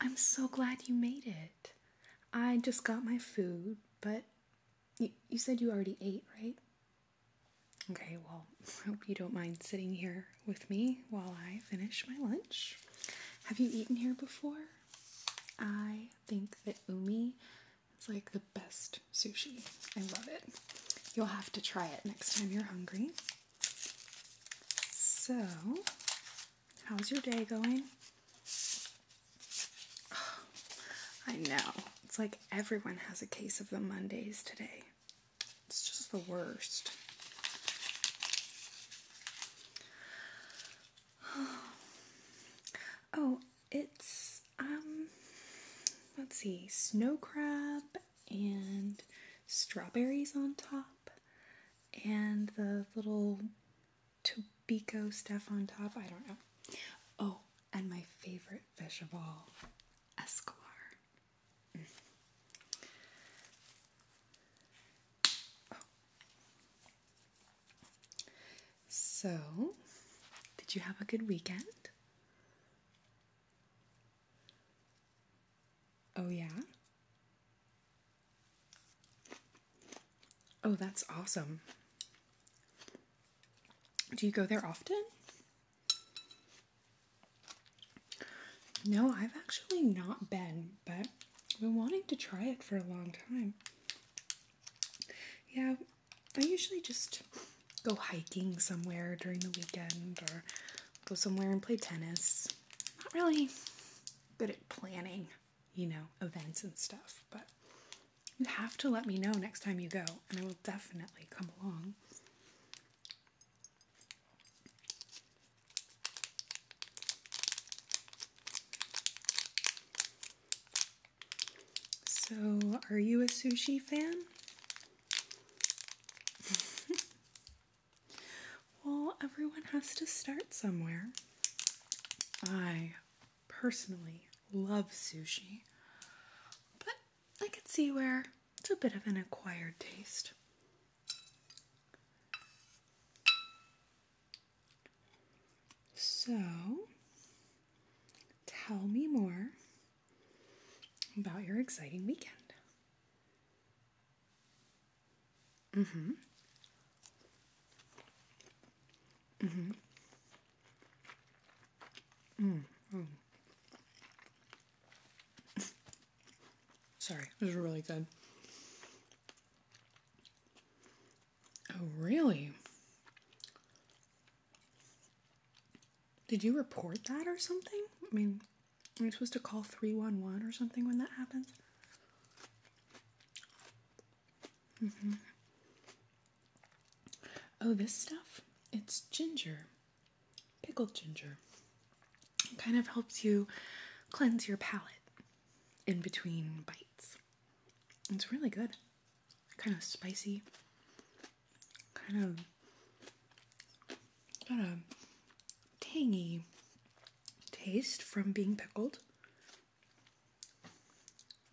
I'm so glad you made it. I just got my food, but you, said you already ate, right? Okay, well, I hope you don't mind sitting here with me while I finish my lunch. Have you eaten here before? I think that Umi it's like the best sushi. I love it. You'll have to try it next time you're hungry. So, how's your day going? I know. It's like everyone has a case of the Mondays today. It's just the worst. Oh, it's um let's see, snow crab and strawberries on top and the little tobiko stuff on top. I don't know. Oh, and my favorite fish of all, escalar. Mm. Oh. So, did you have a good weekend? Oh, yeah. Oh, that's awesome. Do you go there often? No, I've actually not been, but I've been wanting to try it for a long time. Yeah, I usually just go hiking somewhere during the weekend or go somewhere and play tennis. Not really good at planning, you know, events and stuff, but you have to let me know next time you go, and I will definitely come along. So, are you a sushi fan? well, everyone has to start somewhere. I personally love sushi, but I can see where it's a bit of an acquired taste. So, Tell me more about your exciting weekend. Mm-hmm. Mm-hmm. Mm-hmm. Mm hmm. Mm hmm. Mm hmm. Sorry, this is really good. Oh, really? Did you report that or something? I mean, are you supposed to call 311 or something when that happens? Mm-hmm. Oh, this stuff? It's ginger. Pickled ginger. It kind of helps you cleanse your palate in between bites. It's really good kind of spicy, kind of kind of tangy taste from being pickled.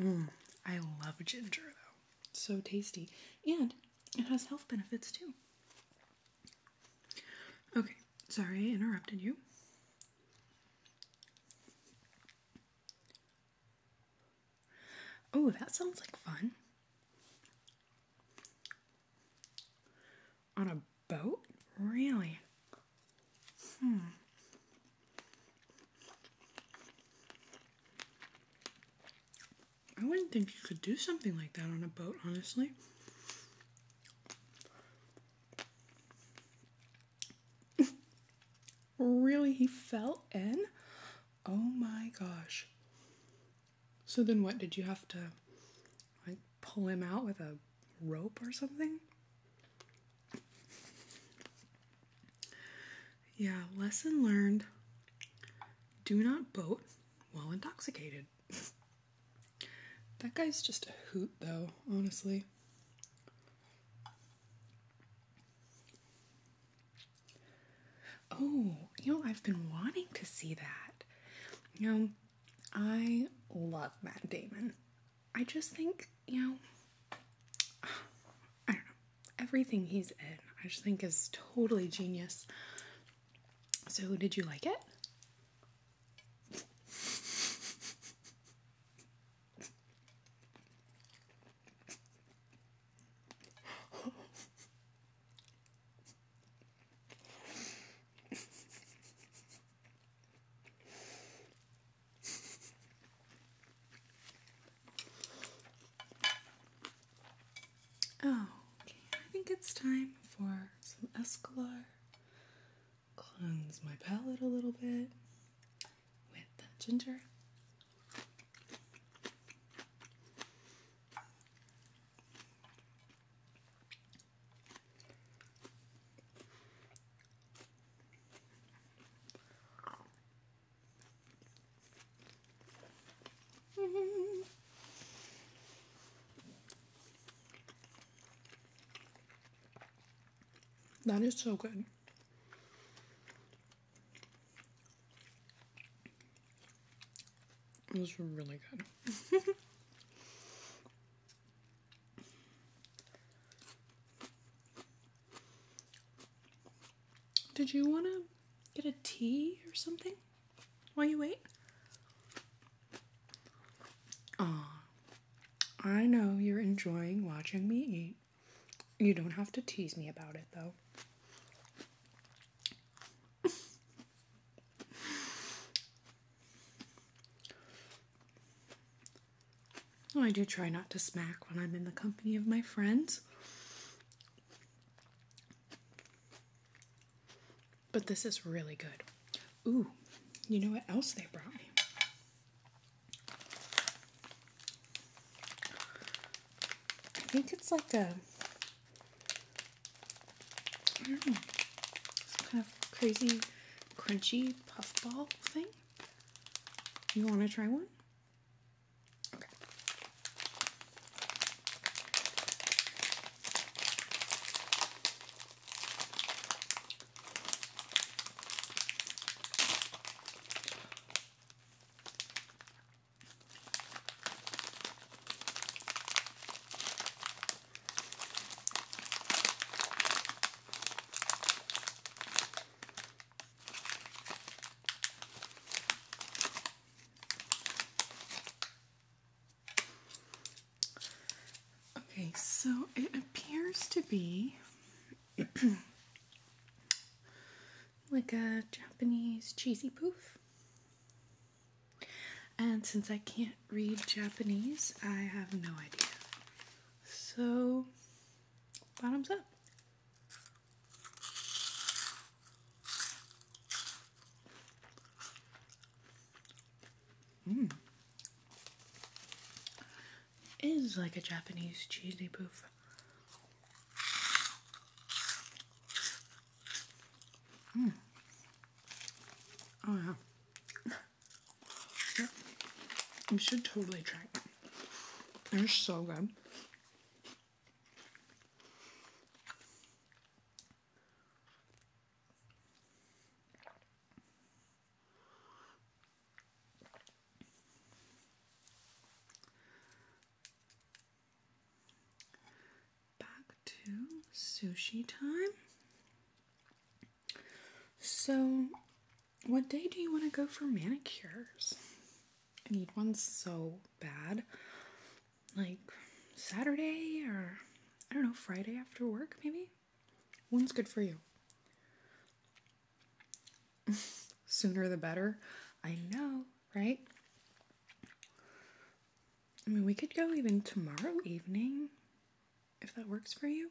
Mm, I love ginger though. so tasty. And it has health benefits too. Okay, sorry I interrupted you. Oh, that sounds like fun. On a boat? Really? Hmm. I wouldn't think you could do something like that on a boat, honestly really? He fell in? Oh my gosh. So then what? Did you have to pull him out with a rope or something? yeah, lesson learned. Do not boat while intoxicated. that guy's just a hoot, though, honestly. Oh, you know, I've been wanting to see that. You know, I love Matt Damon. I just think, you know, I don't know, everything he's in, I just think is totally genius. So, did you like it? oh, okay. I think it's time for some Escalar. Cleanse my palate a little bit with ginger. That is so good. It was really good. Did you want to get a tea or something while you wait? Ah, I know you're enjoying watching me eat. You don't have to tease me about it though. I do try not to smack when I'm in the company of my friends. But this is really good. Ooh, you know what else they brought me? I think it's like a kind of crazy crunchy puffball thing. You want to try one? Okay, so it appears to be like a Japanese cheesy poof. And since I can't read Japanese, I have no idea. So, bottoms up. Mmm. Is like a Japanese cheesy poof. Mm. Oh yeah. yeah. You should totally try it. They're so good. Back to sushi time. So, what day do you want to go for manicures? I need one so bad. Like Saturday or I don't know, Friday after work maybe? One's good for you. Sooner the better. I know, right? I mean, we could go even tomorrow evening if that works for you.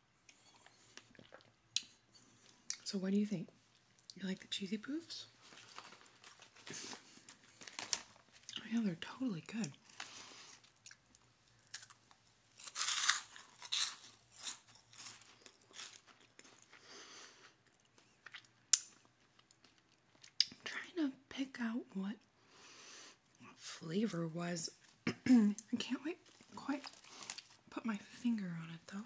So, what do you think? You like the cheesy poofs? Oh, yeah, they're totally good. trying to pick out what what flavor was. I can't wait quite put my finger on it though.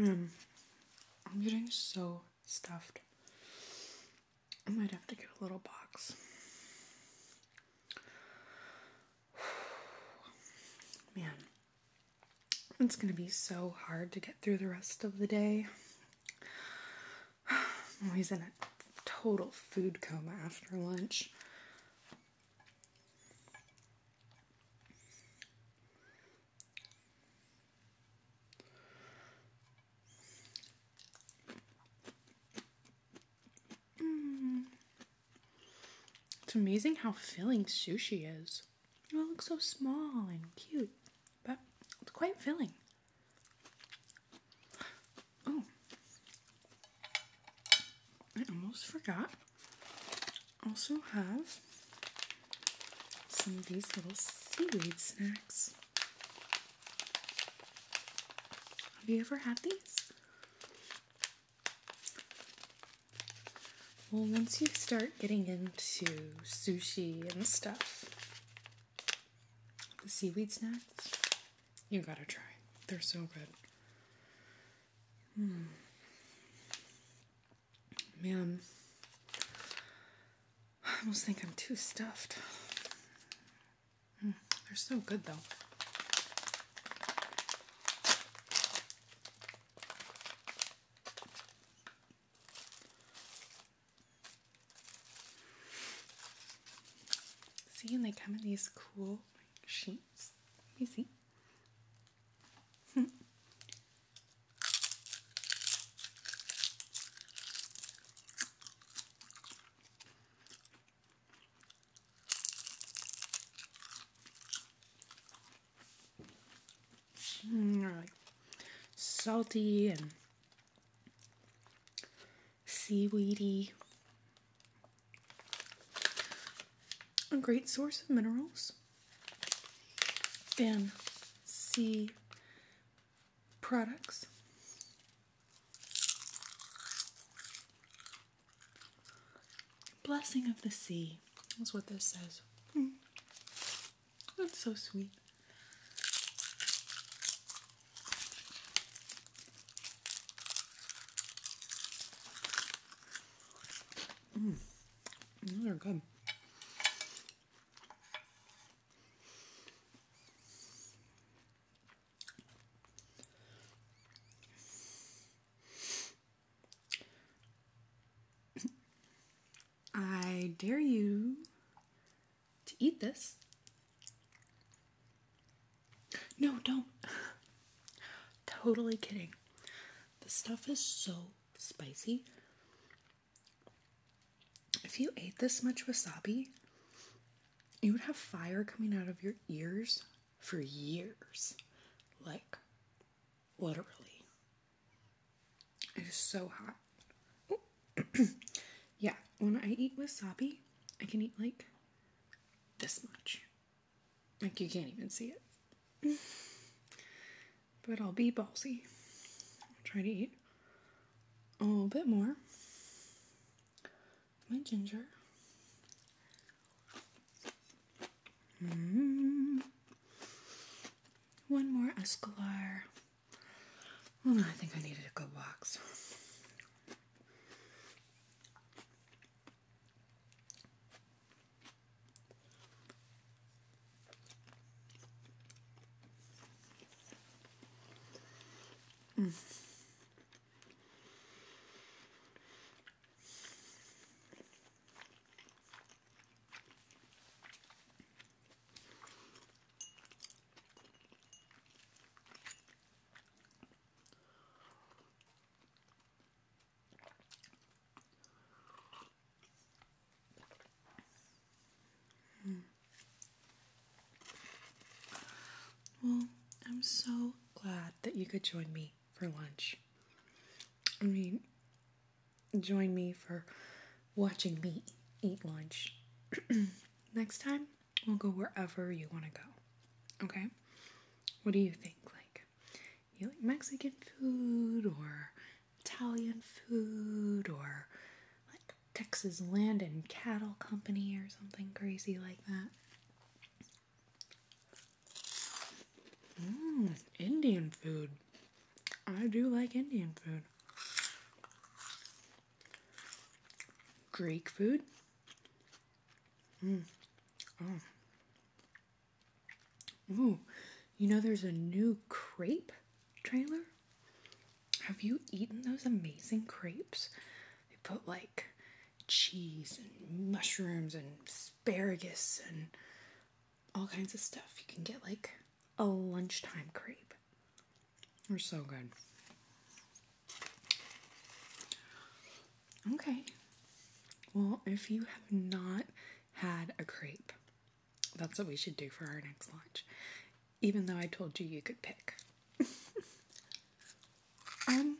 Mm. I'm getting so stuffed. I might have to get a little box. Man. It's going to be so hard to get through the rest of the day. I'm always in a total food coma after lunch. Hmm. It's amazing how filling sushi is. It looks so small and cute, but it's quite filling. Oh, I almost forgot. Also have some of these little seaweed snacks. Have you ever had these? Well, once you start getting into sushi and stuff, the seaweed snacks, you gotta try. They're so good. Hmm. Man, I almost think I'm too stuffed. Hmm, they're so good though. See, and they come in these cool sheets. You see. Mm, salty and seaweedy. A great source of minerals and sea products. Blessing of the sea That's what this says. Hmm. That's so sweet. Mm. are good. I dare you to eat this. No, don't. totally kidding. The stuff is so spicy. If you ate this much wasabi, you would have fire coming out of your ears for years. Like, Literally. It is so hot. yeah, when I eat wasabi, I can eat like this much. Like you can't even see it. but I'll be ballsy. I'll try to eat a little bit more. My ginger. Mm-hmm. One more Escalar. I think I needed a good box. Hmm. Well, I'm so glad that you could join me for lunch. I mean, join me for watching me eat lunch. Next time, we'll go wherever you want to go. Okay? What do you think? Like, you like Mexican food or Italian food or like Texas Land and Cattle Company or something crazy like that? Mmm, Indian food. I do like Indian food. Greek food. Mmm. Oh. you know there's a new crepe trailer? Have you eaten those amazing crepes? They put like cheese and mushrooms and asparagus and all kinds of stuff. You can get like a lunchtime crepe. They're so good. Okay. Well, if you have not had a crepe, that's what we should do for our next lunch. Even though I told you you could pick. I'm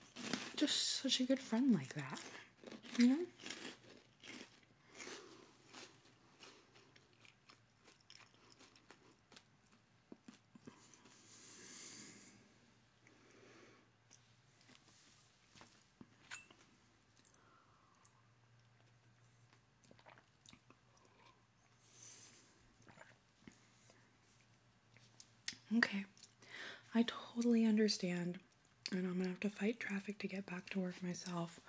just such a good friend like that. Okay, I totally understand and I'm gonna have to fight traffic to get back to work myself.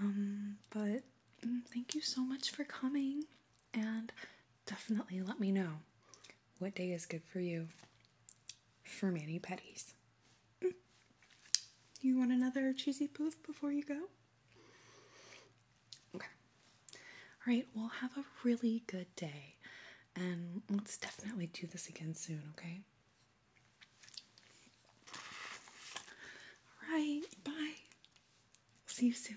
Um, but mm, thank you so much for coming, and definitely let me know what day is good for you for mani petties. Mm. You want another cheesy poof before you go? Okay. All right, well, have a really good day. And let's definitely do this again soon, okay? All right, bye. See you soon.